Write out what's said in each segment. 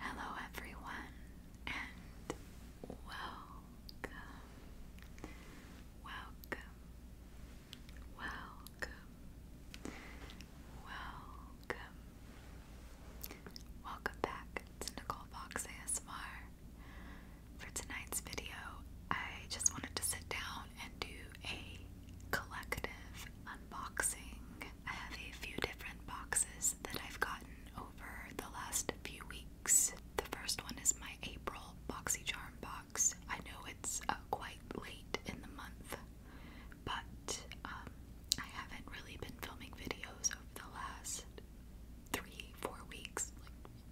Hello, everyone, and welcome, welcome, welcome, welcome, welcome back to Nicole Fox ASMR. For tonight's video, I just wanted to sit down and do a collective unboxing. I have a few different boxes that I've gotten over the last few weeks. The first one is my April BoxyCharm box. I know it's uh, quite late in the month, but um, I haven't really been filming videos over the last three, four weeks,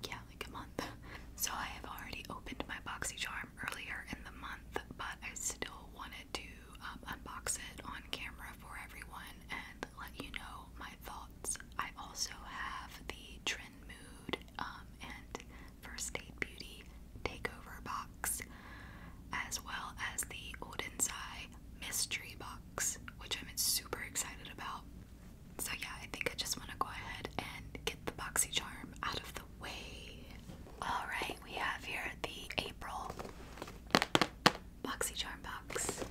yeah, like a month. So I have already opened my BoxyCharm earlier in the month, but I still wanted to um, unbox it on camera for everyone and let you know my thoughts. I also have the Trend Mood um, and First State Beauty Takeover box, as well as the Odensai Mystery box, which I'm super excited about. So yeah, I think I just want to go ahead and get the boxy charm out of the way. All right, we have here the April boxy charm box.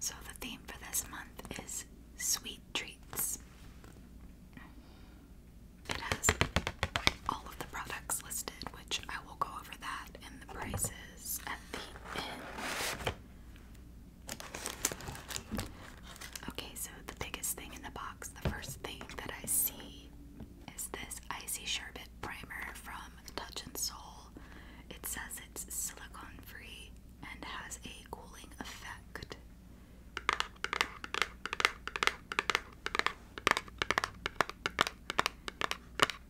So, the theme for this month is sweet treats. It has all of the products listed, which I will go over that and the prices at the end. Okay, so the biggest thing in the box, the first thing that I see is this Icy Sherbet Primer from Touch and Soul. It says it's silicone free and has a cooling effect.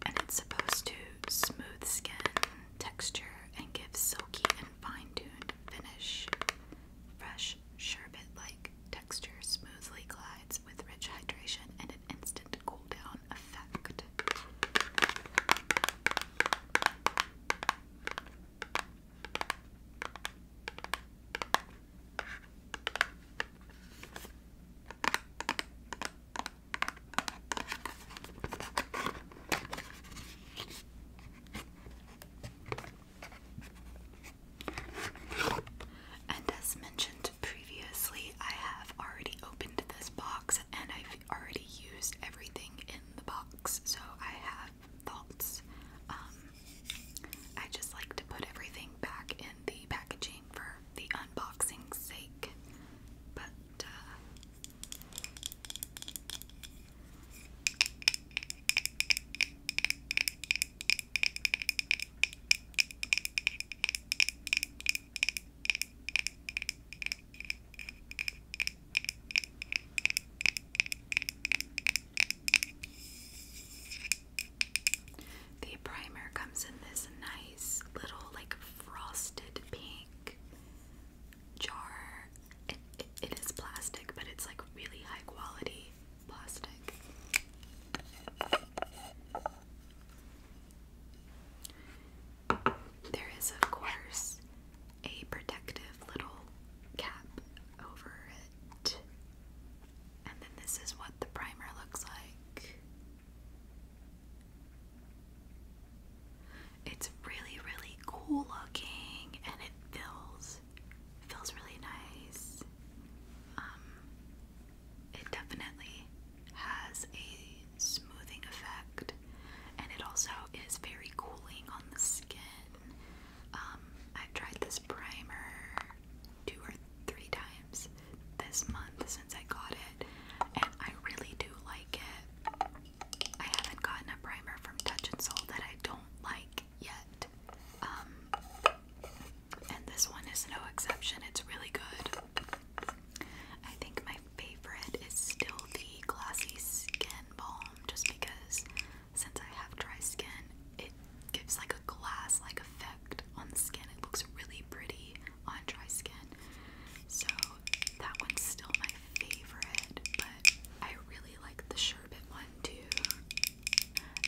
And it's supposed to smooth skin texture and give silky and fine tuned finish. Fresh rich, sherbet like texture smoothly glides with rich hydration and an instant cool down effect. And as mentioned previously, I have already opened this box and I've already used everything in the box, so I have thoughts. Um, I just like to put everything back in the packaging for the unboxing's sake, but uh, the primer comes in this nice little, like, frosted pink jar. It, it is plastic, but it's like really high quality. There is, of course, a protective little cap over it. And then this is what the primer looks like. It's really, really cool looking and it fills feels really nice. Um, it definitely has a smoothing effect, and it also is very cooling on the skin. Um, I've tried this primer two or three times this month since I got it, and I really do like it. I haven't gotten a primer from Touch and Soul that I don't like yet. Um, and this one is no exception, it's really good. I think my favorite is still the Glossy Skin Balm, just because since I have dry skin, it gives like a glass like effect on the skin. It looks really pretty on dry skin. So that one's still my favorite, but I really like the sherbet one too.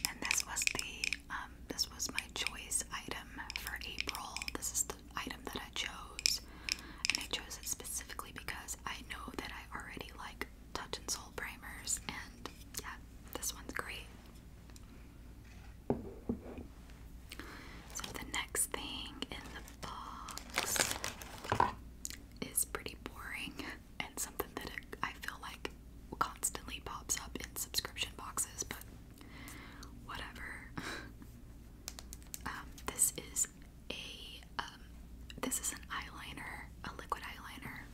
And this was the um, this was my choice item for April. This is the item that I chose. And I chose it specifically because I know that I already like touch and soul primers and yeah, this one's great. So the next thing in the box is pretty boring. and something that I feel like constantly pops up in subscription boxes, but whatever. Um, this is a um, this is an eyeliner, a liquid eyeliner,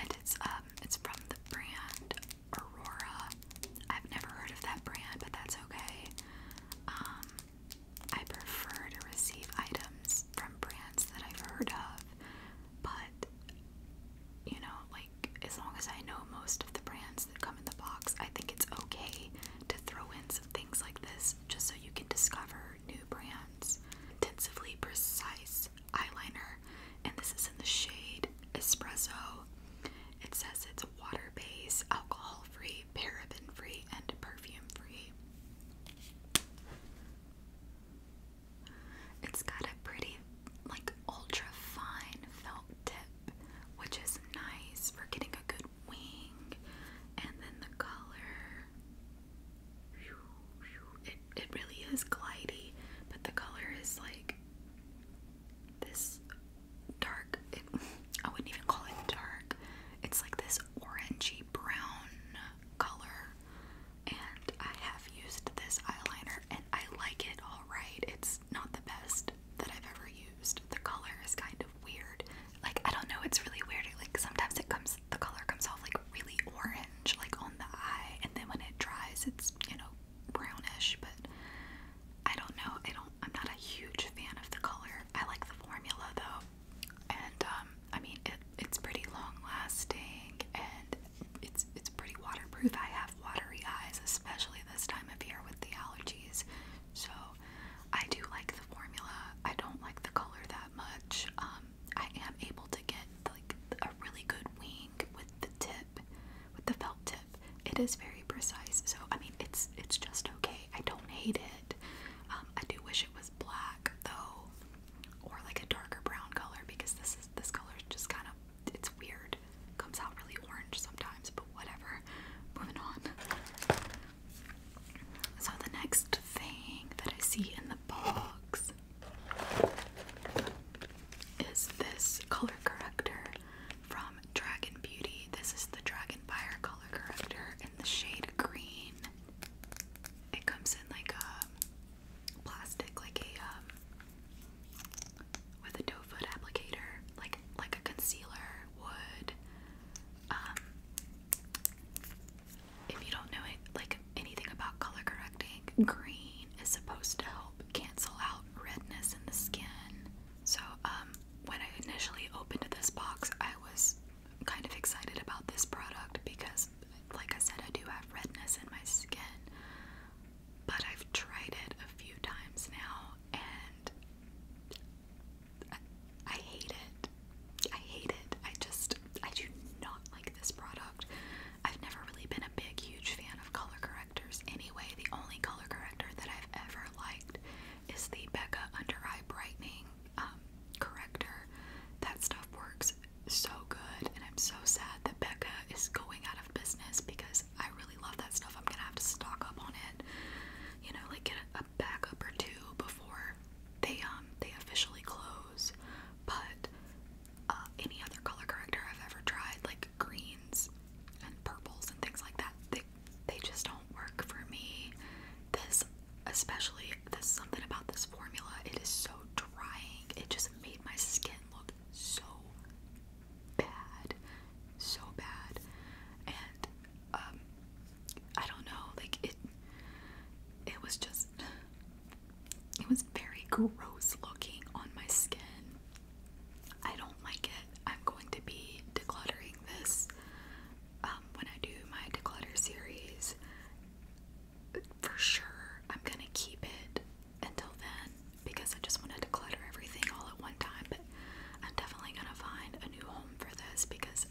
and it's um it's from the brand Aurora. I've never heard of that brand, but that's okay. Um, I prefer to receive items from brands that I've heard of but you know, like as long as I know most of the brands that come in the box, I think it's okay to throw in some things like this just so you can discover new brands. Intensively precise eyeliner, and this is in the shade Espresso. It says it's water based, alcohol free, paraben free, and perfume free. It's got a pretty, like, ultra fine felt tip, which is nice for getting a good wing. And then the color, it, it really is glidy, but the color is like this dark, I wouldn't even call it dark, it's like this orangey brown color, and I have used this eyeliner and I like it alright. It's not the best that I've ever used. The color is kind of weird. Like I don't know, it's really weird. Like sometimes it comes the color comes off like really orange, like on the eye, and then when it dries it's, you know, brownish, but I don't know. I don't I'm not a huge fan of the color. I like the formula though. And um I mean it it's pretty long lasting and it's it's pretty waterproof. I have watery eyes, especially this time of year with the allergies. So I do like the formula. I don't like the color that much. Um, I am able to get like a really good wing with the tip, with the felt tip. It is very precise. So I mean, it's it's just okay. I don't hate it. Um, I do wish it was black though or like a darker brown color because this is this color is just kind of it's weird. Comes out really orange sometimes, but whatever. Moving on. So the next thing that I see in the box is this color corrector from Dragon Beauty. This is the Dragon Fire color corrector in the shade green. It comes in like a plastic, like a um, with a doe foot applicator, like like a concealer would. Um, if you don't know it, like anything about color correcting, green is supposed to help cancel out redness in the skin. So um, when I initially opened this box, I was kind of excited about this product because like I said, I do have redness in my skin, but I've tried it a few times now and I, hate it. I hate it. I just, I do not like this product. I've never really been a big, huge fan of color correctors anyway. The only color corrector that I've ever liked is the Becca Under Eye Brightening um, Corrector. That stuff works so good, and I'm so sad that Becca is going out of business because I really love that stuff. I'm gonna have to stock up on it, you know, like get a, backup or two before they um they officially close. But uh, any other color corrector I've ever tried, like greens and purples and things like that, they they just don't work for me. This especially there's something about this formula. It is so drying. It just made my skin look so bad, so bad, and um, I don't know, like it, it was just, it was very gross looking on my skin. I don't like it. I'm going to be decluttering this um, when I do my declutter series for sure I'm gonna keep it until then because I just wanted to clutter everything all at one time. But I'm definitely gonna find a new home for this because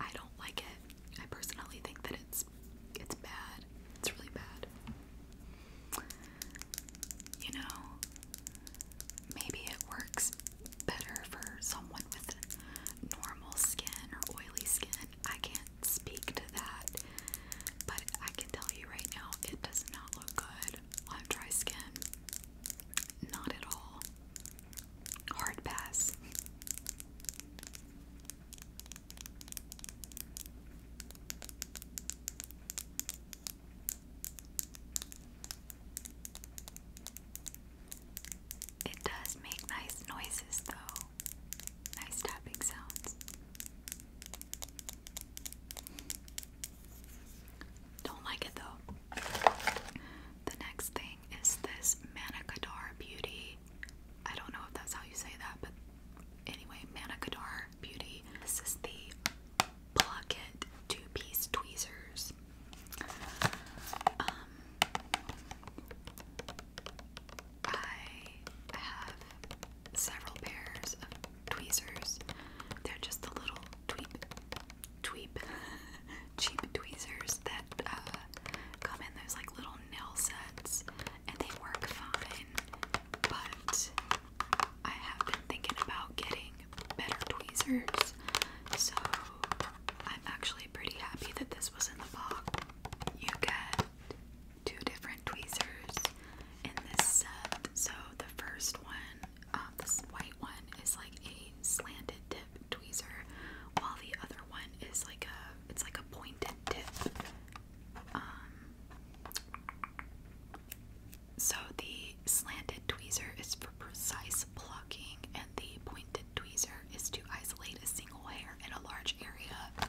I don't like it. I personally think that it's it's bad. It's really bad. You know, maybe it works better for someone with normal skin or oily skin I can't speak to that, but I can tell you right now it does not look good on dry skin. Not at all. Hard pass. It does make nice noises though. Nice tapping sounds. Don't like it though. The next thing is this Manakadar Beauty. I don't know if that's how you say that, but anyway, Manakadar Beauty. This is the Pluck two piece tweezers. Um, I have several pairs of tweezers. They're just the little tweep, tweep, cheap tweezers that uh, come in those like little nail sets, and they work fine. But I have been thinking about getting better tweezers, so I'm actually pretty happy that this was in the box. You get two different tweezers in this set. So the first one, um, this white one, is like a slanted tip tweezer, while the other one is like a it's like a pointed tip. Um, so the slanted tweezer is for precise plucking, and the pointed tweezer is to isolate a single hair in a large area.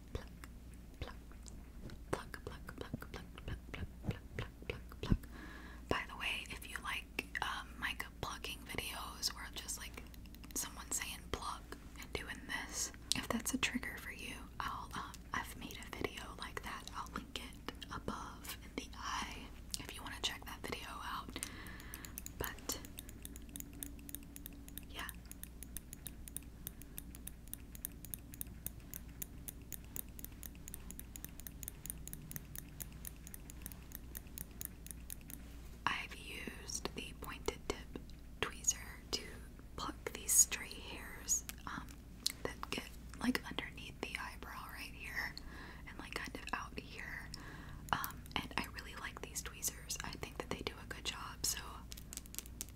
pluck, pluck, pluck, pluck, pluck, pluck, pluck, pluck, pluck, pluck, By the way, if you like um, like plucking videos or just like someone saying pluck and doing this, if that's a trigger for you, I'll um, I've made a video like that. I'll link it above in the eye if you want to check that video out. But yeah i used the pointed tip tweezer to pluck these stray hairs um, that get like underneath the eyebrow right here and like kind of out here. Um, and I really like these tweezers. I think that they do a good job. So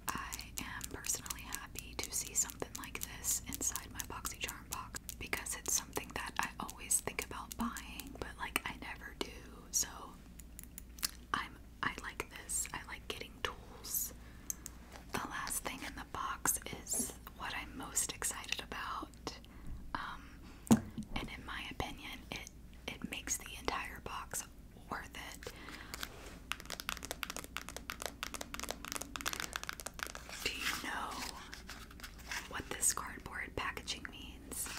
I am personally happy to see something like this inside my Boxy Charm box because it's something that I always think about buying, but like I never do. So I'm I like this. I like getting tools. The last thing in the box is what I'm most excited about. Um, and in my opinion, it it makes the entire box worth it. Do you know what this cardboard packaging means?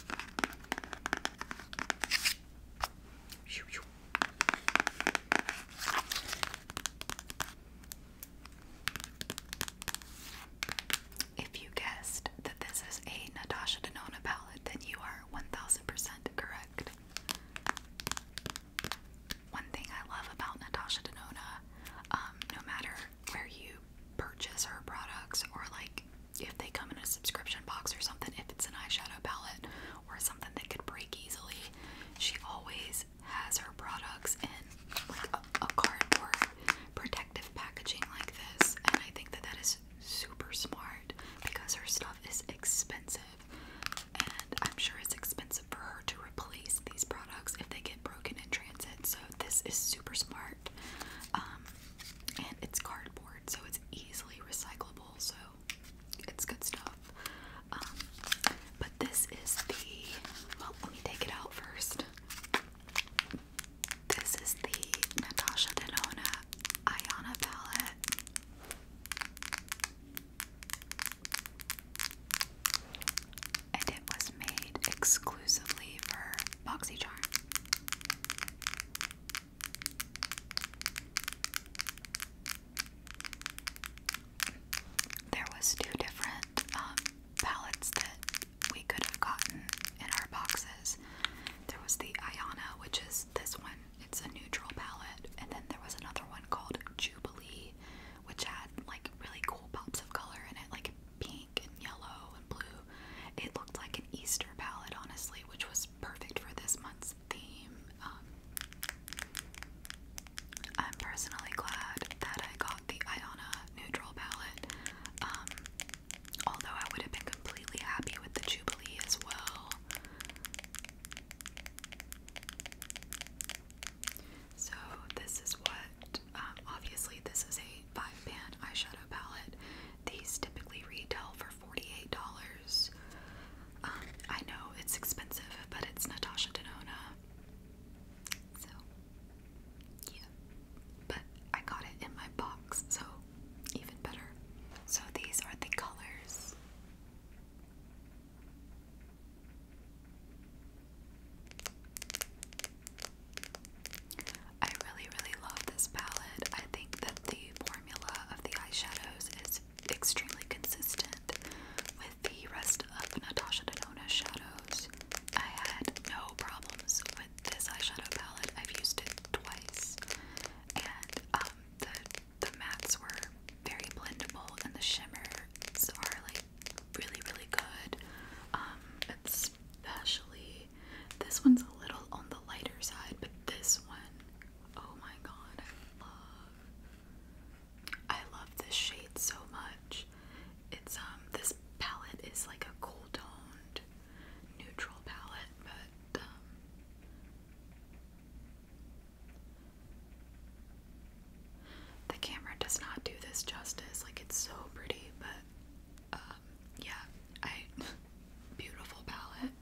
If you guessed that this is a Natasha Denona palette, then you are 1000% correct. One thing I love about Natasha Denona, um, no matter where you purchase her products or like if they come in a subscription box or something, if it's an eyeshadow palette or something that could break easily, she always has her products in like a, a cardboard protective packaging like this. And I think that that is super smart because her stuff is expensive and I'm sure it's expensive for her to replace these products if they get broken in transit. So this is super smart, um, and it's cardboard, so it's easily recyclable. So it's good stuff. Um, but this is the well. Let me take it out first. This is the Natasha Denona Ayana palette. And it was made exclusively for BoxyCharm. There was two different um, palettes that we could have gotten in our boxes. There was the Ayana, which is this one, it's a neutral palette. And then there was another one called Jubilee, which had like really cool pops of color in it, like pink and yellow and blue. It looked like an Easter palette, honestly, which was perfect for this month's theme. Um, I'm personally glad that I got the Iona neutral palette. Um, although I would have been completely happy with the Jubilee as well. So this is what, um, obviously this is a 5 pan eyeshadow palette. These typically retail for $48. Um, I know it's expensive, but it's Natasha Denona. So, yeah. But I got it in my box, so even better. So these are the colors. I really, really love this palette. I think that the formula of the eyeshadows is extremely consistent with the rest of Natasha Denona shadows. I had no problems with this eyeshadow palette. I've used it twice, and um, the the mattes were very blendable, and the shimmers are like really, really good. Um, especially this one's a little on the lighter side, but this one, oh my god, I love. I love this shade so much. It's um this palette is like a cool toned neutral palette, but um, the camera does not do this justice. Like it's so pretty, but um, yeah, I beautiful palette.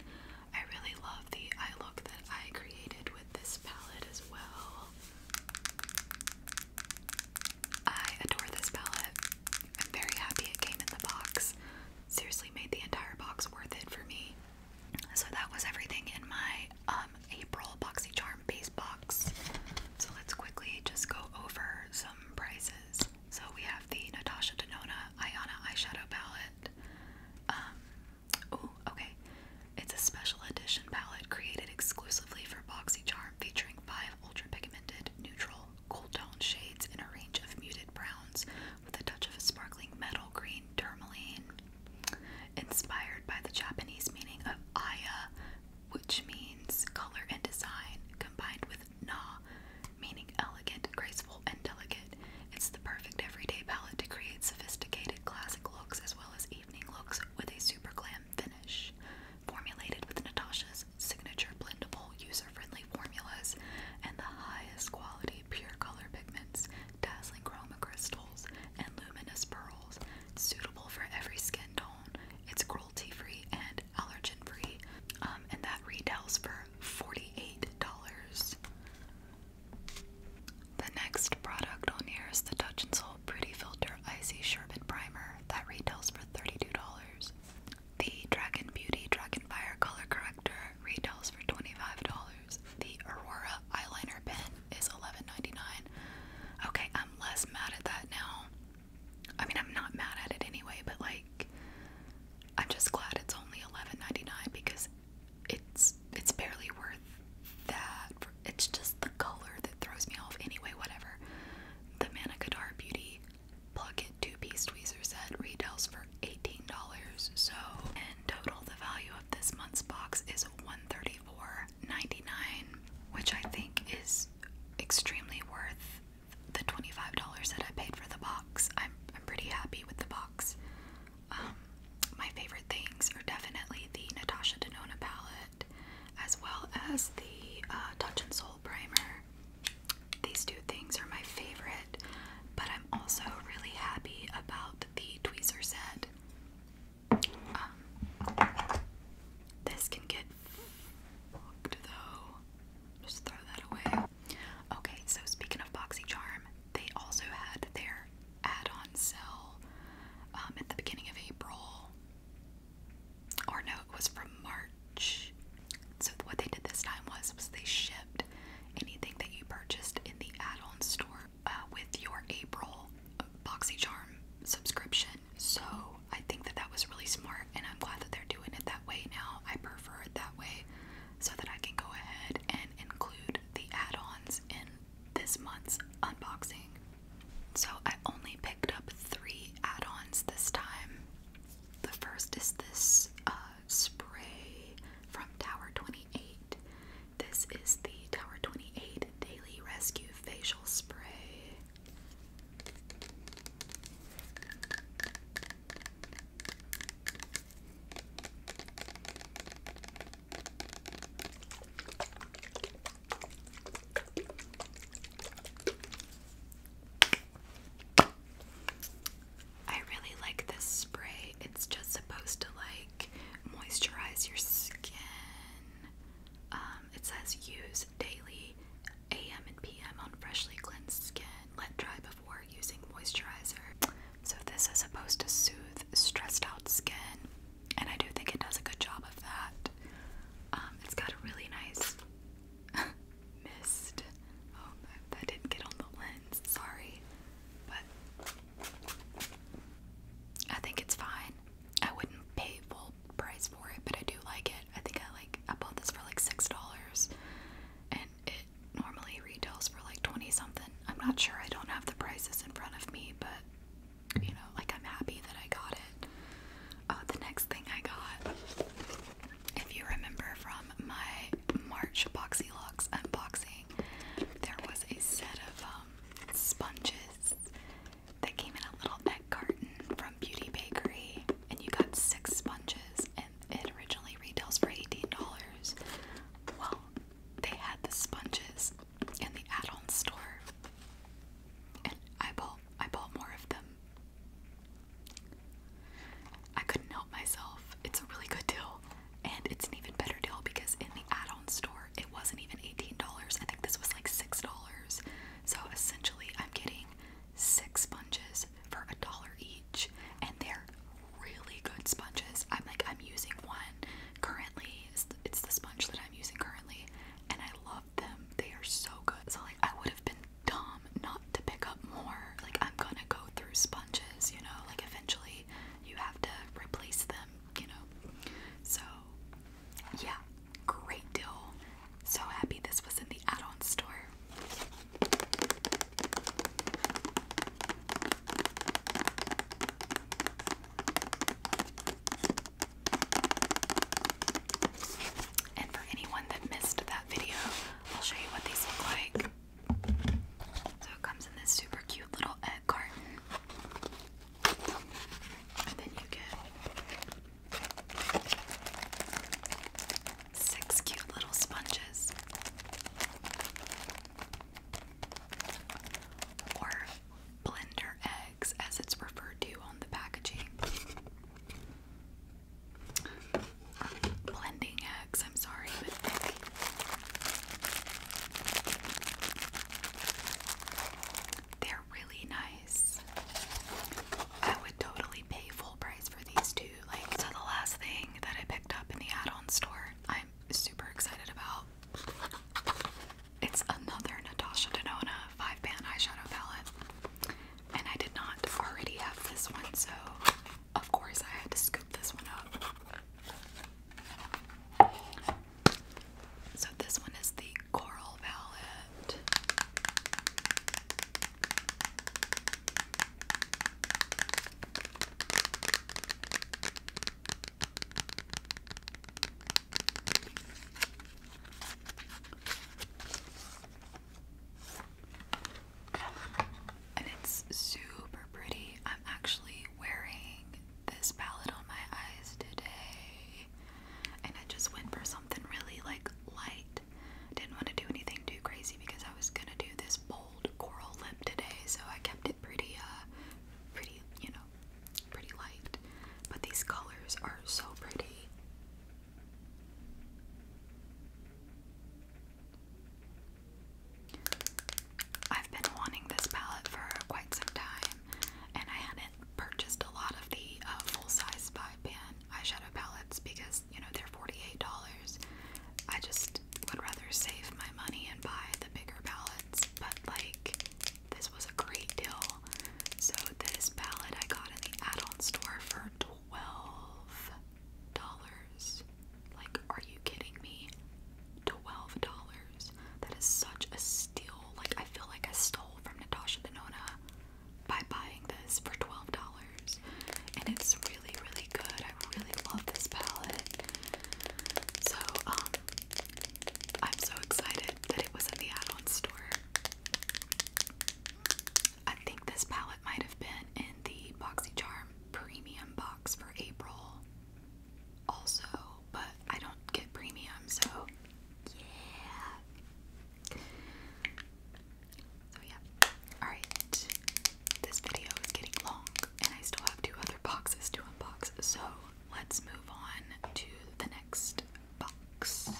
I really love the eye look that I created with this palette as well. I adore this palette. I'm very happy it came in the box. Seriously, made the entire box worth it for me. So that was everything in my um, April BoxyCharm base box. So let's quickly just go over some prices. So we have the Natasha Denona Ayana eyeshadow palette. Um, okay. It's a special edition palette created exclusively for BoxyCharm featuring five ultra pigmented, neutral, cool tone shades in a range of muted browns with a touch of a sparkling metal green meaning inspired by the Japanese meaning of ayah, which means color and design, combined with na, meaning elegant, graceful, and delicate. It's the perfect everyday palette to create sophisticated classic looks as well as evening looks with a super glam finish. Formulated with Natasha's signature blendable, user friendly formulas and the highest quality pure color pigments, dazzling chroma crystals, and luminous pearls. suitable for every skin tone. It's cruelty free and allergen free. Um, and that retails for $48. The next product on here is the Touch and Soul Pretty Filter Icy Sherbet Primer that retails for $32. The Dragon Beauty Dragon Fire Color Corrector retails for $25. The Aurora eyeliner pen is $11.99. Okay, I'm less mad at that now. I mean, I'm not mad at it anyway, but like, I'm just glad it's only $11.99 because it's it's barely worth that. It's just the color that throws me off. Anyway, whatever. The Manicadar Beauty Plug Two Piece Tweezers Set retails for $18, so in total the value of this month's box is $134.99, which I think is extremely worth the $25 that I paid for the box. I'm, I'm pretty happy with the box. Um, my favorite things are definitely the Natasha Denona palette as well as the uh, Touch and Soul primer. These two things are my favorite, but I'm also really happy about the tweezer set. Um, this can get fucked though. Just throw that away. Okay, so speaking of Charm, they also had their add-on sale um, at the beginning of April. Or no, it was from March. So what they did this time was was they shipped anything that you purchased in the add-on store uh, with your April Charm subscription. So I think that that was really smart, and I'm glad that they're doing it that way now. I prefer it that way so that I can go ahead and include the add-ons in this month's unboxing. So I only picked up three add-ons this time. The first is this uh, spray from Tower 28. This is the Tower 28 Daily Rescue Facial Spray. I really like this spray. It's just supposed to like moisturize your skin. Um, it says use daily AM and PM on freshly cleansed skin. Let dry before using moisturizer. So this is supposed to soothe stressed out skin, and I do think it does a good job of that. Um, it's got a really nice mist. Oh, that didn't get on the lens. Sorry but I think it's fine. I wouldn't pay full price for it, but I do like it. I think I like I bought this for like six dollars, and it normally retails for like twenty something. I'm not sure. I don't have the prices in front of me, but you know, like I'm happy that I got it. Uh, the next thing I got, if you remember from my March Boxy Lux unboxing, there was a set of um, sponges that came in a little egg carton from Beauty Bakery, and you got six sponges, and it originally retails for $18. Well, they had the sponges in the add-on store, and I bought I bought more of them. I couldn't help myself. It's a really good deal, and it's an even better deal because in the add on store, it wasn't even $18. I think this was like $6. So essentially, I'm getting six sponges for a dollar each, and they're really good sponges. I'm like, I'm using one currently, it's the, it's the sponge that I'm using currently, and I love them. They are so good. So, like, I would have been dumb not to pick up more. Like, I'm gonna go through sponges, you know, like, eventually you have to replace them, you know. So, yeah, great deal. So happy this was in the add on store. And for anyone that missed that video, I'll show you what these look like. So it comes in this super cute little egg carton. And then you get six cute little sponges. Or blender eggs, as it's referred to on the packaging blending eggs. I'm sorry, but They're really nice. I would totally pay full price for these two. Like, so the last thing that I picked up in the add-on store, I'm super excited about. It's another Natasha Denona five pan eyeshadow palette, and I did not already have this one, so of course, I had to scoop this one up. So, this one is the Coral palette. And it's super pretty. I'm actually wearing this palette on my eyes today. And I just went for something really like light. Didn't want to do anything too crazy because I was gonna do this bold coral lip today, so I kept it pretty uh pretty, you know, pretty light. But these colors are so pretty. I've been wanting this palette for quite some time, and I hadn't purchased a lot of the uh, full-size 5 pan eyeshadow palettes because you know they're $48. I just would rather save my money and buy the bigger palettes, but like this was a great deal. So this palette I got in the add-on store for twelve dollars. Like, are you kidding me? Twelve dollars. That is such a steal. Like, I feel like I stole from Natasha Denona by buying this for twelve dollars, and it's really, really good. I really love this palette. So, um, I'm so excited that it was in the add-on store. I think this palette might have been in the boxy charm premium box for April also, but I don't get premium, so yeah. So yeah. Alright. This video is getting long and I still have two other boxes to unbox. So let's move on to the next box.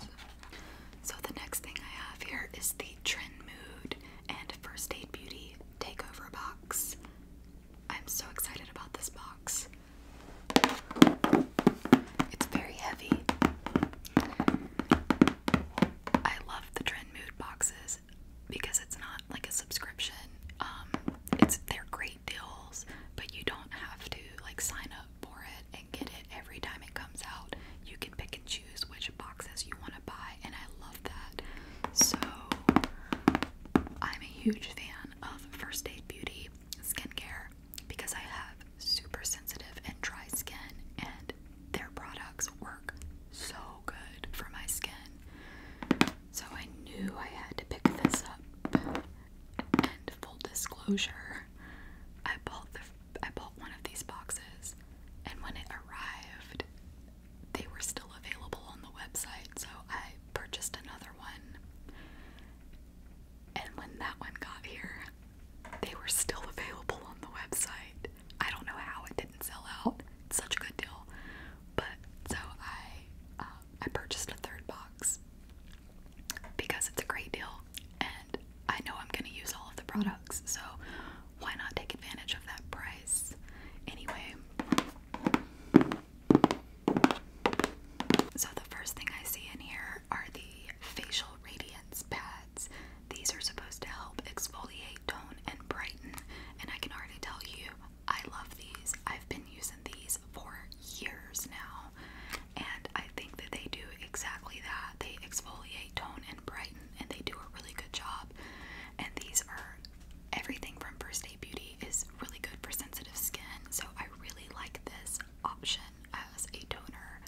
So the next thing I have here is the Trend Mood and First Aid Beauty Takeover Box. I'm so excited about this box. It's very heavy. I love the Trend Mood boxes because it's not like a subscription. Um, it's they're great deals, but you don't have to like sign up for it and get it every time it comes out. You can pick and choose which boxes you want to buy, and I love that. So, I'm a huge fan of First Aid Beauty skincare because I have super sensitive and dry skin, and their products work so good for my skin. So, I knew I had to pick this up. And full disclosure, I bought I bought one of these boxes, and when it arrived, they were still available on the website, so I purchased another one. And when that one got here, they were still available on the website. I don't know how it didn't sell out. It's such a good deal. But so I um, I purchased a third box because it's a great deal and I know I'm going to use all of the products. So why not take advantage of that price? Anyway, so the first thing I see in here are the facial radiance pads. These are supposed to help exfoliate, tone, and brighten. And I can already tell you, I love these. I've been using these for years now. And I think that they do exactly that. They exfoliate, tone, Brighten, and they do a really good job. And these are everything from First Aid Beauty is really good for sensitive skin, so I really like this option as a toner.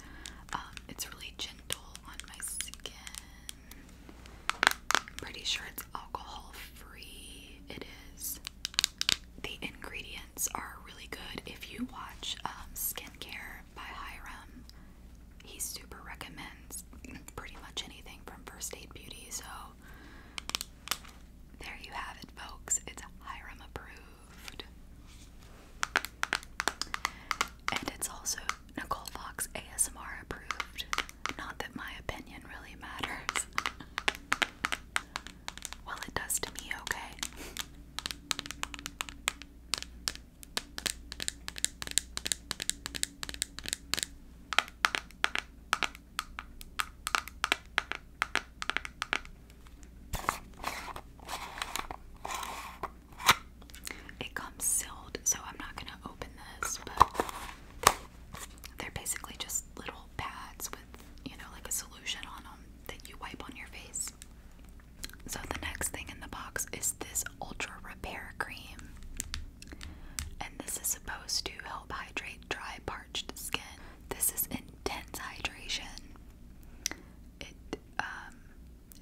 Um, it's really gentle on my skin. I'm pretty sure it's alcohol free. It is. The ingredients are really good. If you watch um, Skincare by Hiram, he super recommends pretty much anything from First Aid Beauty. So there you have it, folks. It's Hiram approved. And it's also Nicole Fox ASMR approved. Not that my opinion really matters. well, it does to me, okay? It comes sealed, so I'm not going to open this, but they're, basically just little pads with, you know, like a solution on them that you wipe on your face. So the next thing in the box is this Ultra Repair Cream and this is supposed to help hydrate dry, parched skin. This is intense hydration. It um,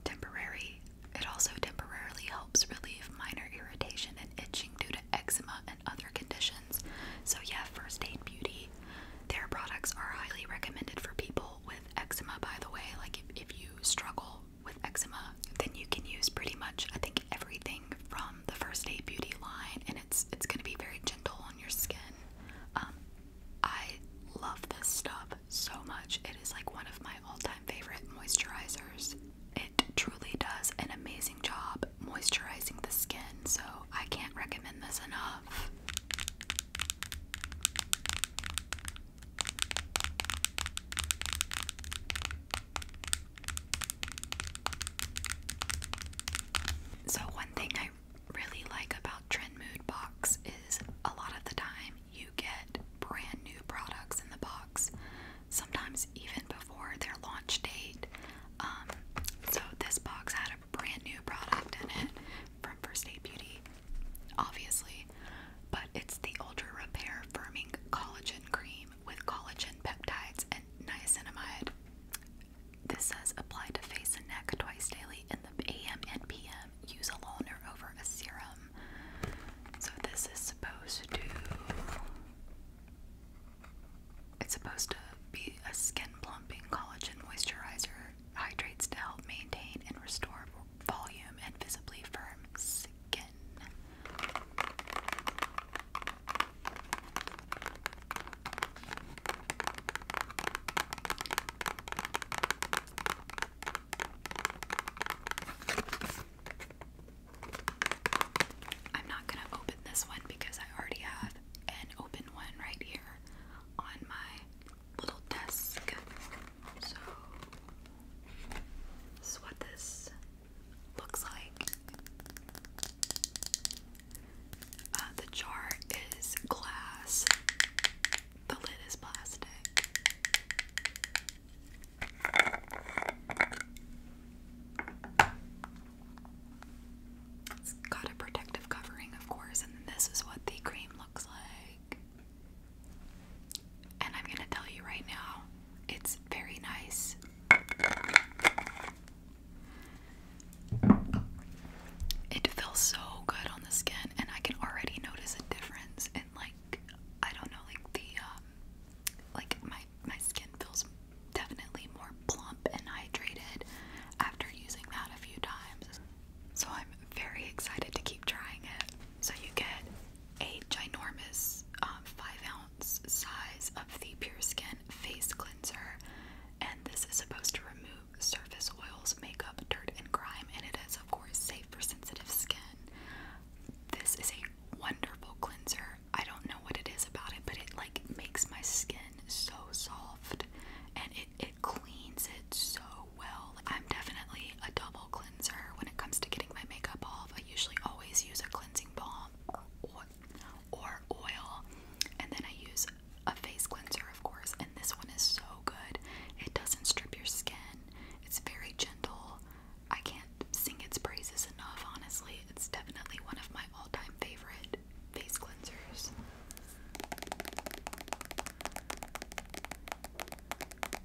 temporary. It also temporarily helps relieve minor irritation and itching due to eczema and other conditions. So yeah, First Aid Beauty. Their products are highly recommended for people with eczema. By the way, like if, if you struggle with eczema, then you can use pretty much I think everything from the First Aid Beauty line, and it's it's gonna be very gentle on your skin. Um, I love this stuff so much. It is like one of my all-time favorite moisturizers. It truly does an amazing job moisturizing the skin, so I can't recommend this enough. So, one thing I really like about Trend Mood Box is a lot of the time you get brand new products in the box, sometimes even before their launch date. Um, so, this box had a brand new product in it from First Aid Beauty, obviously but it's the Ultra Repair Firming Collagen Cream with collagen peptides and niacinamide. This says apply to face and neck twice daily in the AM and PM. Use alone or over a serum. So this is supposed to it's supposed to be a skin plumping collagen moisturizer. Hydrates to help maintain and restore volume and visibly firm skin. I'm not going to open this one because I already have an open one right here on my little desk. So, this is what this looks like. Uh, the jar is glass, the lid is plastic. It's got a protective covering, of course, and this is what the cream looks like. And I'm gonna tell you right now, it's very nice. It feels so good on the skin, and I can already notice a difference in like I don't know, like the um, like my my skin feels definitely more plump and hydrated after using that a few times. So I'm very excited to keep trying it. So you get a ginormous um, five ounce size of the Pure Skin face cleanser, and this is supposed to remove surface oils, makeup, dirt, and grime, and it is of course safe for sensitive skin. This is a wonderful cleanser. I don't know what it is about it, but it like makes my skin so soft and it, it cleans it so well. I'm definitely a double cleanser when it comes to getting my makeup off, I usually always use a cleansing balm or oil, and then I use a face cleanser, of course. And this one is so good. It doesn't strip your skin. It's very gentle. I can't sing its praises enough. Honestly, it's definitely one of my all-time favorite face cleansers.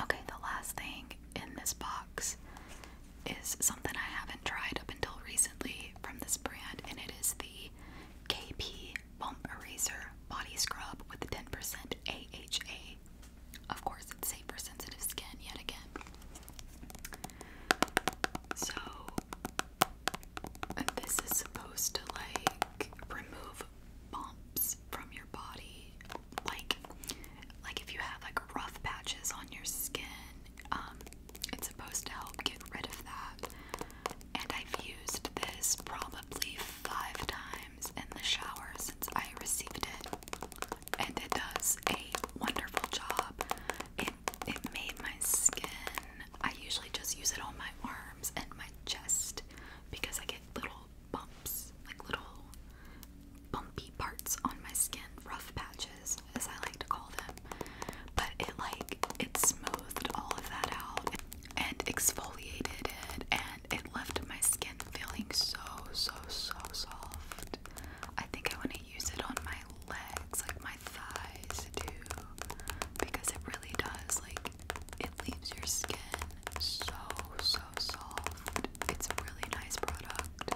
Okay, the last thing in this box is something I haven't tried up until recently from this brand, and it is the KP Bump Eraser Body Scrub with 10% AHA. Of course, it's safe for sensitive skin yet again. So, this is supposed to like remove bumps from your body, like like if you have like rough patches on your skin, um, it's supposed to help get rid of that. And I've used this probably five times in the shower since I received it, and it does a wonderful job. It it made my skin. I usually just use it on my arms and my chest because I get little bumps, like little bumpy parts on my skin, rough patches as I like to call them. But it like it smoothed all of that out and exfoliated it and it left my skin feeling so so so soft. I think I want to use it on my legs, like my thighs too, because it really does like it leaves your skin so, so soft. It's a really nice product.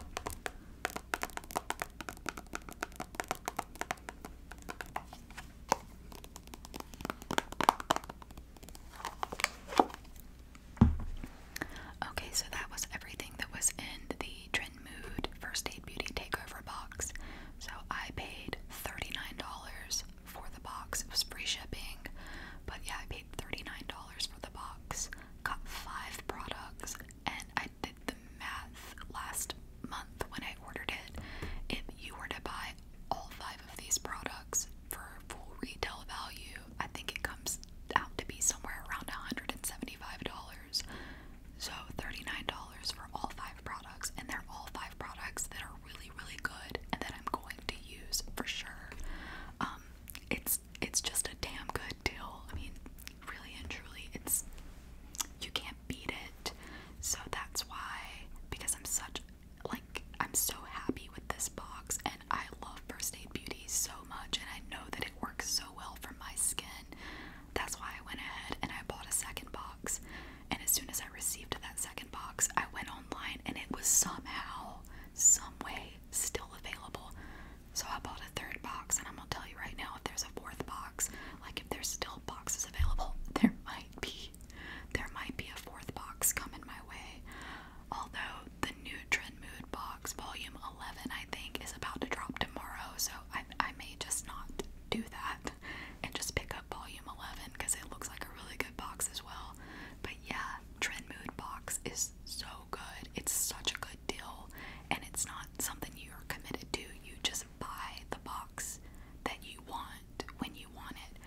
Okay, so that was everything that was in the Trend Mood First Aid Beauty Takeover box. So I paid $39 for the box. It was free shipping, but yeah, I paid $39 for the box. Got five products, and I did the math last month when I ordered it. If you were to buy all five of these products for full retail value, I think it comes out to be somewhere around $175. So $39 for all five products, and they're all five products that are really, really good and that I'm going going to use for sure. Um, it's it's just a damn good deal. I mean, really and truly, it's you can't beat it. So that's why, because I'm such like I'm so happy with this box, and I love First Aid Beauty so much, and I know that it works so well for my skin. That's why I went ahead and I bought a second box. And as soon as I received that second box, I went online and it was somehow, some way, still available. So I bought a third box, and I'm gonna tell you right now if there's a fourth box, like if there's still boxes available, there might be. There might be a fourth box coming my way. Although the Nutrin Mood box, volume 11, I think, is about to drop tomorrow, so I, I may just not do that and just pick volume 11 because it looks like a really good box as well. But yeah, Trend Mood box is so good. It's such a good deal, and it's not something you're committed to. You just buy the box that you want when you want it.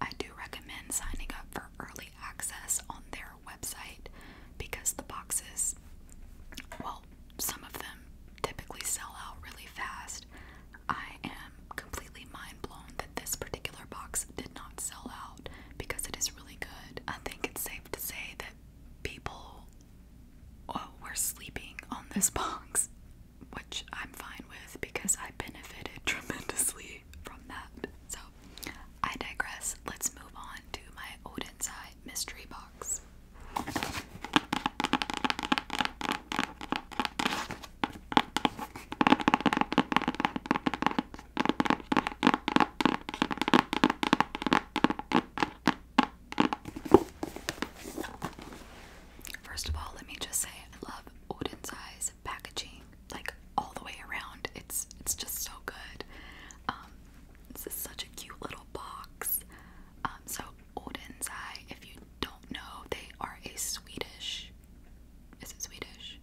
I do recommend signing up for early access on their website because the boxes, well, some of them typically sell out really fast. I am completely mind blown that this particular box did not sell out because it is really good. I think it's safe to say that people uh, were sleeping on this box, which I'm fine with because I benefited tremendously from that. So I digress. Let's move on to my Odin's Eye mystery box. First of all, let me just say I love Odin's Eyes packaging, like all the way around. It's it's just so good. Um, this is such a cute little box. Um, so Odin's Eye, if you don't know, they are a Swedish is it Swedish?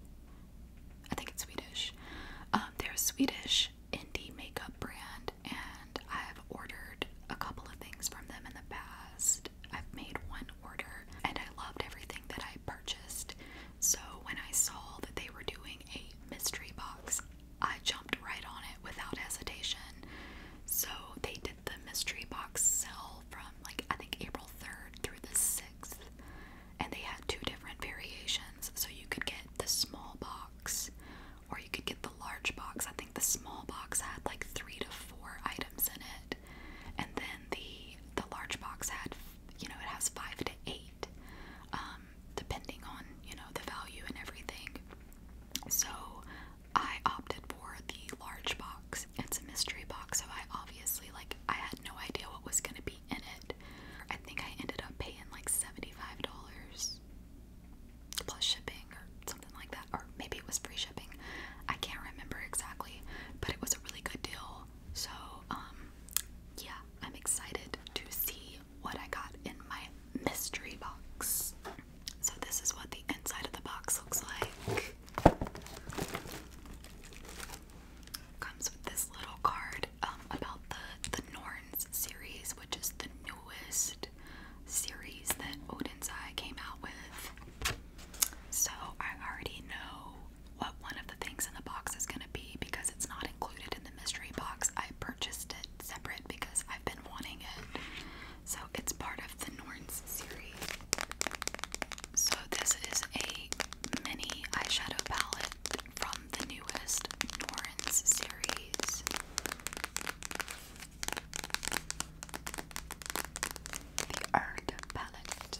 I think it's Swedish. Um, they're a Swedish indie makeup brand, and I've ordered a couple of things from them in the past. I've made one order, and I loved everything that I purchased. So when I saw that they were doing a mystery box, I jumped right on it without hesitation. So they did the mystery box sell from like I think April 3rd through the 6th, and they had two different variations. So you could get the small box or you could get the large box. I think the small box had like three to four items in it, and then the the large box had you know it has five to eight, um, depending on you know the value and everything. So I opted for the large box. It's a mystery box, so I obviously like I had no idea what was gonna be in it. I think I ended up paying like seventy-five dollars plus shipping or something like that, or maybe it was free shipping. I can't remember exactly, but it was a really good deal. So um, yeah, I'm excited to see what I got in my mystery box. So this is what the inside of the box looks like. Comes with this little card um, about the the Norns series, which is the newest series that Odinzai came out with. So I already know what one of the things in the box is going to be because it's not included in the mystery box. I purchased it separate because I've been wanting it. So it's part of the Norns series. So this is a mini eyeshadow palette from the newest Norrens series. The Earth palette.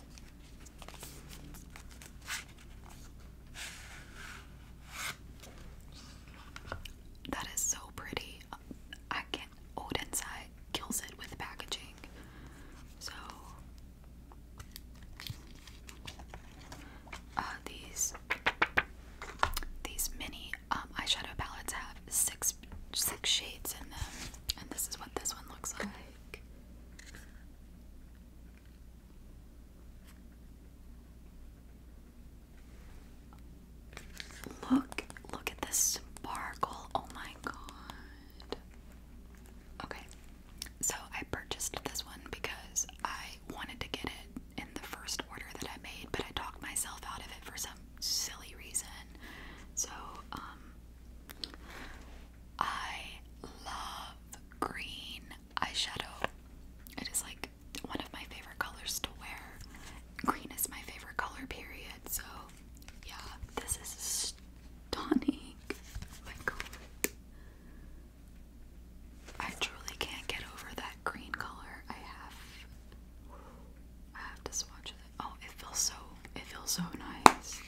That is so pretty. I can't Odensai kills it with packaging. So uh, these these mini um, eyeshadow palettes have six six shades in them, and this is what this one looks like. Look, look at this sparkle. Oh my god. Okay, so I purchased this one because I wanted to get it in the first order that I made, but I talked myself out of it for some silly reason. So, um, I love green eyeshadow. It is like one of my favorite colors to wear. Green is my favorite color, period. So, yeah, this is stunning. Oh my god. I truly can't get over that green color. I have I have to swatch it. Oh, it feels so it feels so nice.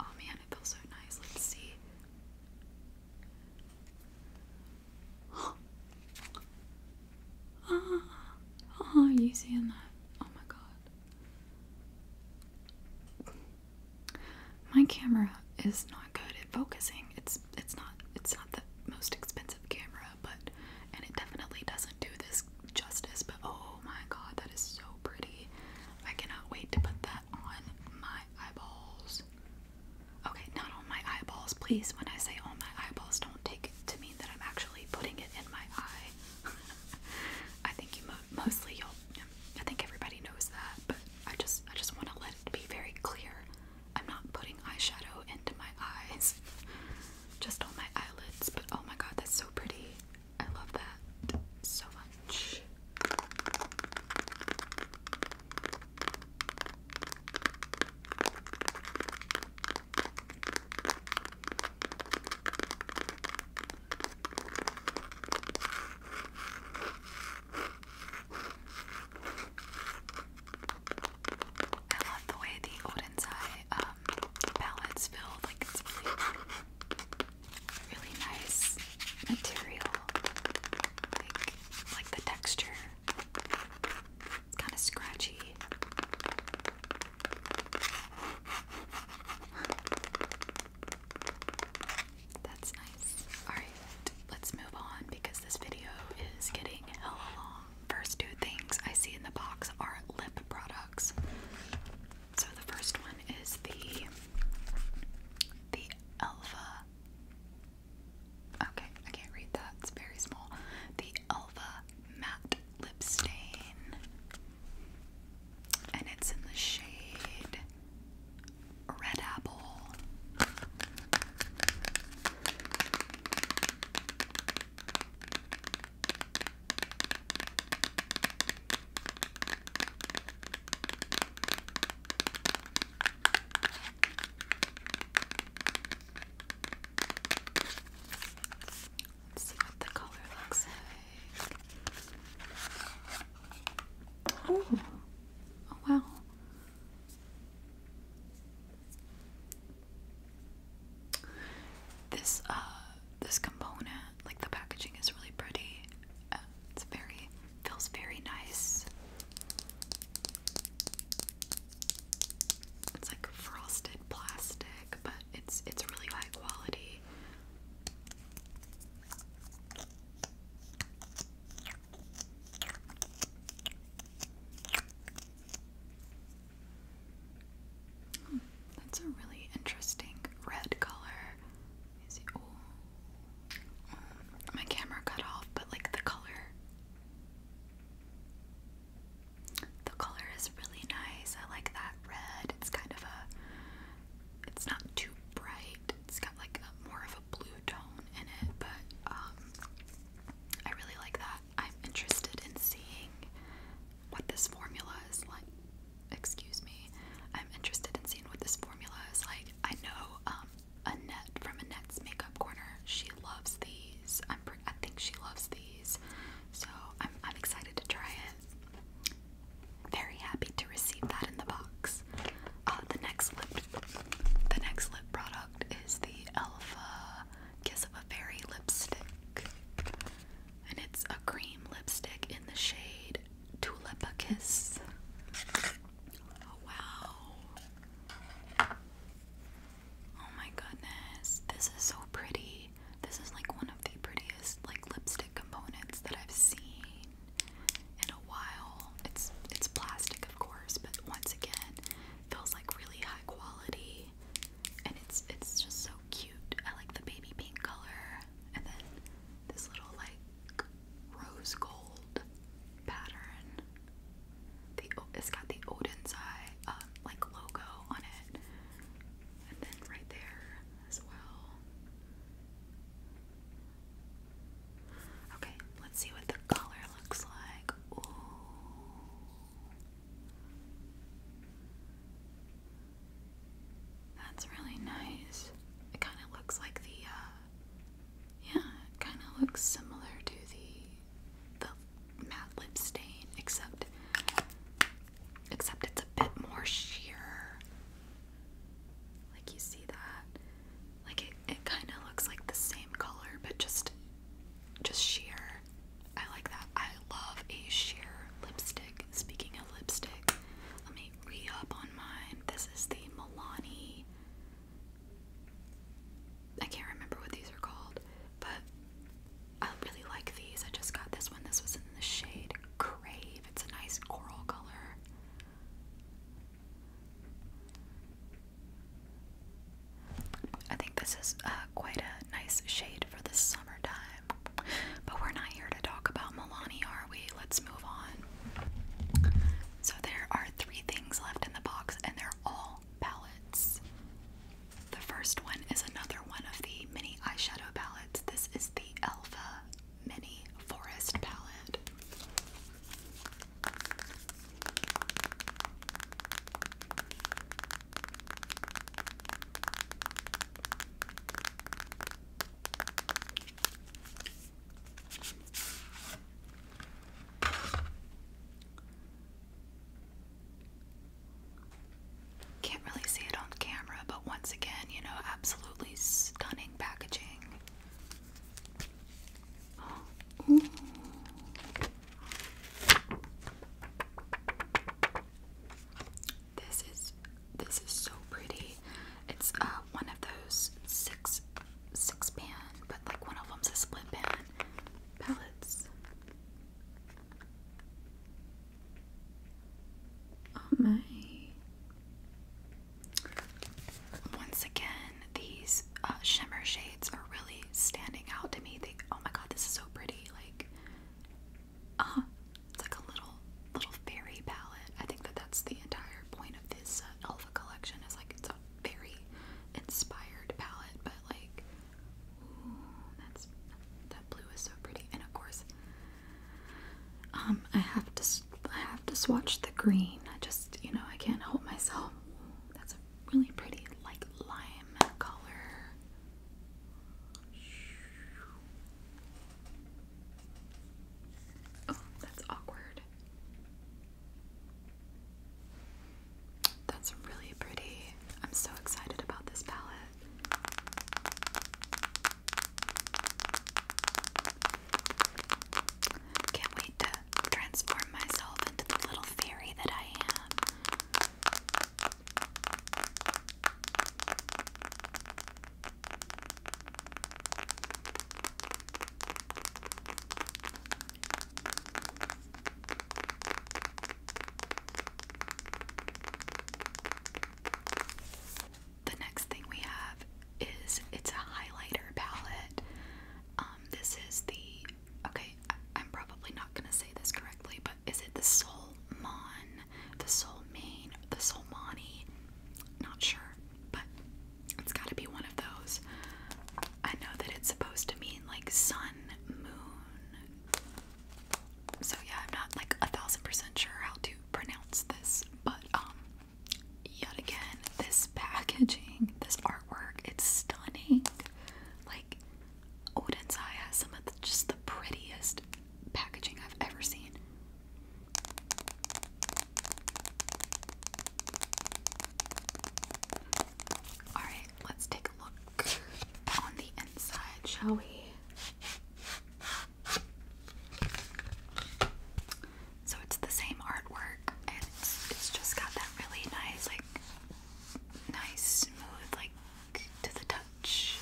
Oh man, it feels so nice. Let's see. Oh, oh, oh you seeing that? Oh my god. My camera is not good at focusing. It's it's not it's not the most expensive camera, but and it definitely doesn't do this justice, but oh my god, that is so pretty. I cannot wait to put that on my eyeballs. Okay, not on my eyeballs, please. When I say on my eyeballs, don't take it to mean that I'm actually putting it in my eye. I think you mostly y'all. I think everybody knows that, but I just I just want to let it be very clear. I'm not putting eyeshadow into my eyes, just on my eyelids. But oh my god, that's so pretty. I love that so much. I love the way the Odensai um, palettes feel, like it's really, nice material, like the texture, it's kind of scratchy. That's nice. Alright, let's move on because this video is getting hella long. First two things I see in the box are lip products. So the first one is the the Elva. Okay, I can't read that. It's very small. The Elva matte lip stain and it's in the shade Red Apple. Let's see what the color looks like. Oh, oh wow. This uh this component, like the packaging is really pretty. Uh, it's very feels very nice. It's like frosted plastic but it's it's really high quality. Hmm, that's a really interesting red color. my camera cut off, but like the color. The color is really nice. I like that red. It's kind of a it's not too bright. It's got like a, more of a blue tone in it, but um, I really like that. I'm interested in seeing what this formula is like. Excuse me. I'm interested in seeing what this formula is like. I know um Annette from Annette's Makeup Corner. She loves these. I'm I think she loves these. So I'm, I'm excited to try it. Very happy to receive that in the box. Uh, the next lip, the next lip product is the Alpha Kiss of a Fairy lipstick, and it's a cream lipstick in the shade Tulip Kiss. Oh wow! Oh my goodness, this is so pretty. This is like one of the prettiest like lipstick components that I've seen in a while. It's it's plastic of course, but once again, feels like really high quality and it's it's just so cute. I like the baby pink color and then this little like rose gold pattern. The it's got the Odin's eye uh, like logo on it and then right there as well. Okay, let's see what the color looks like. That's really nice. It kind of looks like the, uh, yeah, it kind of looks similar to the, the matte lip stain, except except it's a bit more sheer. Like you see that? Like it, it kind of looks like the same color, but just just sheer. I like that. I love a sheer lipstick. Speaking of lipstick, let me re-up on mine. This is the Milani. I can't remember what these are called, but I really like these. I just got this one. This was in the shade Crave. It's a nice coral color. I think this is uh, quite a nice shade for the summertime. But we're not here to talk about Milani, are we? Let's move on. So there are three things left in the box, and they're all palettes. The first one is another one of the mini eyeshadow palettes. This is the Elva Mini Forest palette. Can't really see it on camera, but once again, you know, absolutely stunning packaging. This is this is so pretty. It's uh, one of those six six pan, but like one of them's a split pan pellets. Oh my. Once again, these uh, shimmer shades are really standing out to me. They, oh my god, this is so pretty. Like, uh, it's like a little, little fairy palette. I think that that's the entire point of this uh, collection. Is like it's a very inspired palette, but like that blue is so pretty. And of course, um, I have to I have to swatch the green. I just you know I can't help myself. that's a really pretty like lime color. Oh, that's awkward. That's really pretty. I'm so excited about this palette. Can't wait to transform myself into the little fairy that I am. The next thing we have is it's a highlighter palette. Um, this is the okay. I, am probably not gonna say this correctly, but is it the Solmon, the Solmain, the Solmani? Not sure, but it's got to be one of those. I know that it's supposed to mean like sun, moon, so yeah, I'm not like a thousand percent sure how to pronounce this, but um yet again, this packaging, this artwork, it's stunning. Like Odin's Eye has some of the, just the prettiest packaging I've ever seen. Alright, let's take a look on the inside, shall we? So it's the same artwork and it's, just got that really nice, like, nice, smooth, like, to the touch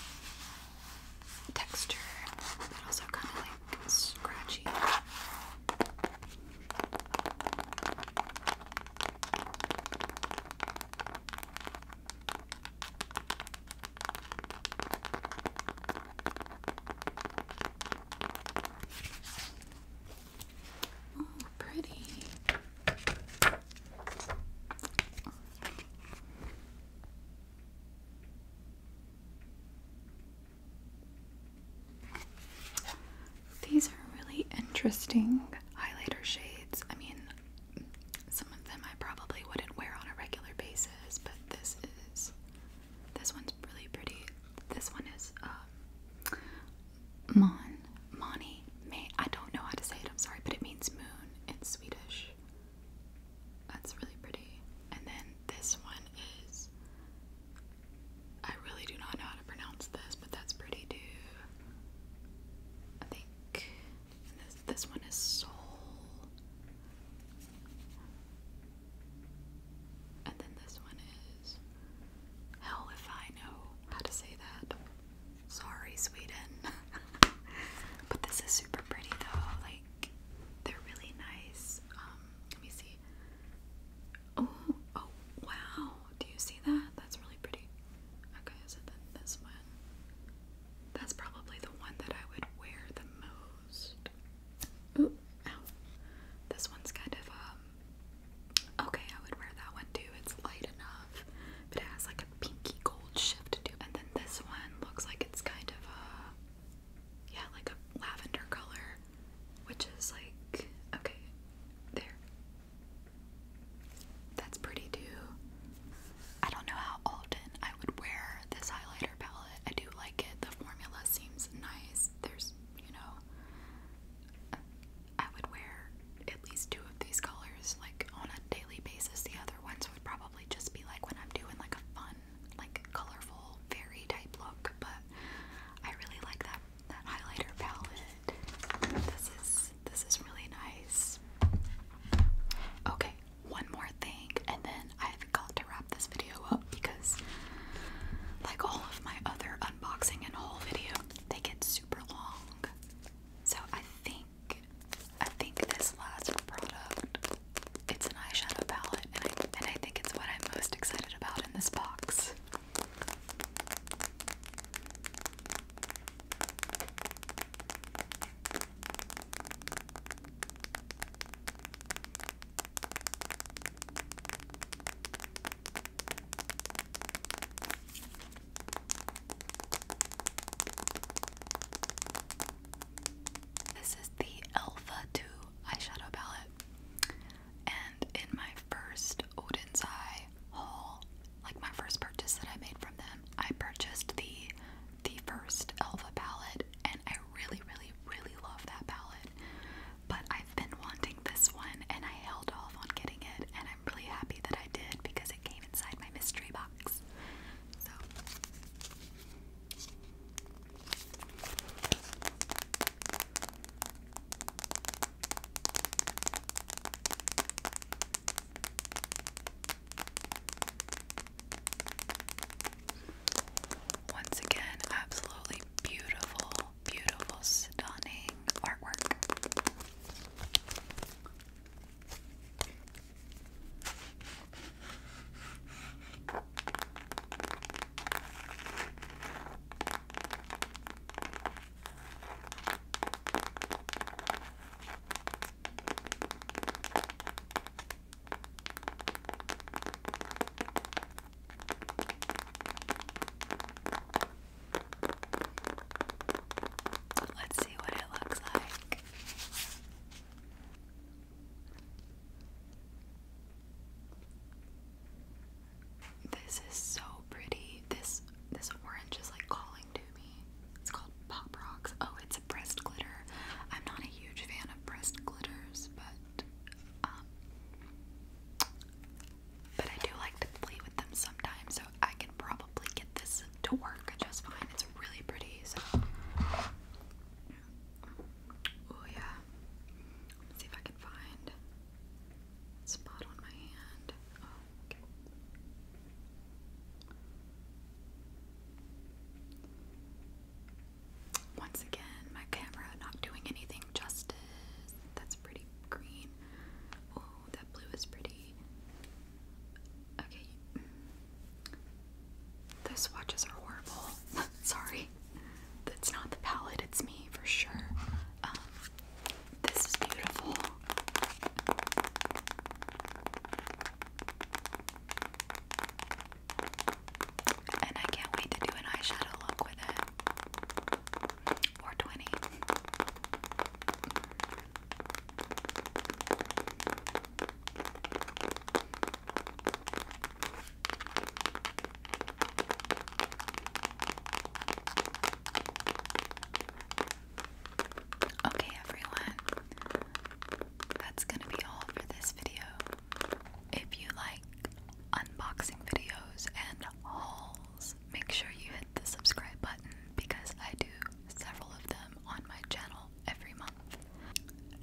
texture, but also kind of like scratchy. Oh, pretty. These are really interesting highlighter shades. I mean, some of them I probably wouldn't wear on a regular basis, but this is this one's really pretty. This one is um, Mon Moni I don't know how to say it, I'm sorry, but it means moon in Swedish. That's really pretty. And then this one is I really do not know how to pronounce this, but that's pretty too. I think this, this one is soul. And then this one is hell if I know how to say that. Sorry, Sweden. but this is super pretty though. Like they're really nice. Um, let me see. Oh, oh, wow. Do you see that? That's really pretty. Okay, so then this one. That's probably the one that I would wear the most. Ooh, ow. This one's kind of, um, okay, I would wear that one too. It's light enough, but it has like a pinky gold shift to And then this one looks like it's kind of a, yeah, like a lavender color, which is like, okay, there. That's pretty too. I don't know how often I would wear this highlighter palette. I do like it. The formula seems nice. There's, you know, I would wear at least two of these colors like on a daily basis. The other ones would probably just be like when I'm doing like a fun, like colorful, very type look. But I really like that that highlighter palette. This is this is really nice. Okay, one more thing, and then I've got to wrap this video up because like all of my other unboxing and haul video, they get super long. So I think I think this last product it's an eyeshadow palette and I think it's what I'm most excited about in this box. This is the Alpha 2 eyeshadow palette, and in my first Odin's Eye haul, like my first purchase that I made from them. I purchased the the first Elva palette and I really really really love that palette. But I've been wanting this one and I held off on getting it and I'm really happy that I did because it came inside my mystery box. So once again, absolutely beautiful, beautiful, stunning artwork. Let's see what it looks like. This is so pretty. This this orange is like calling it's called Pop Rocks. Oh, it's a breast glitter. I'm not a huge fan of breast glitters, but um, but I do like to play with them sometimes, so I can probably get this to work just fine. It's really pretty, so oh yeah. see if I can find spot on my hand. Oh, once again, my camera not doing anything justice. That's pretty green. Oh, that blue is pretty. Okay. The swatches are horrible. Sorry. That's not the palette, it's me for sure. Um, this is beautiful. And I can't wait to do an eyeshadow look with it. Or Okay, everyone, that's gonna be all for this video. If you like unboxing videos and hauls, make sure you hit the subscribe button because I do several of them on my channel every month.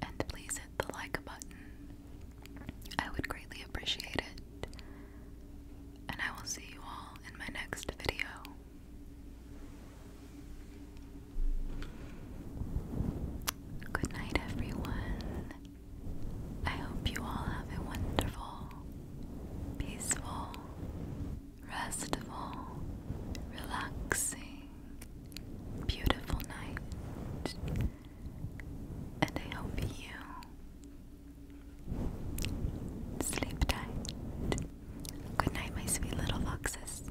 And please hit the like button, I would greatly appreciate it. And I will see you all in my next video. Good night, everyone. I hope you all have a wonderful, peaceful, restful, relaxing, beautiful night. And I hope you sleep tight. Good night, my sweet little foxes.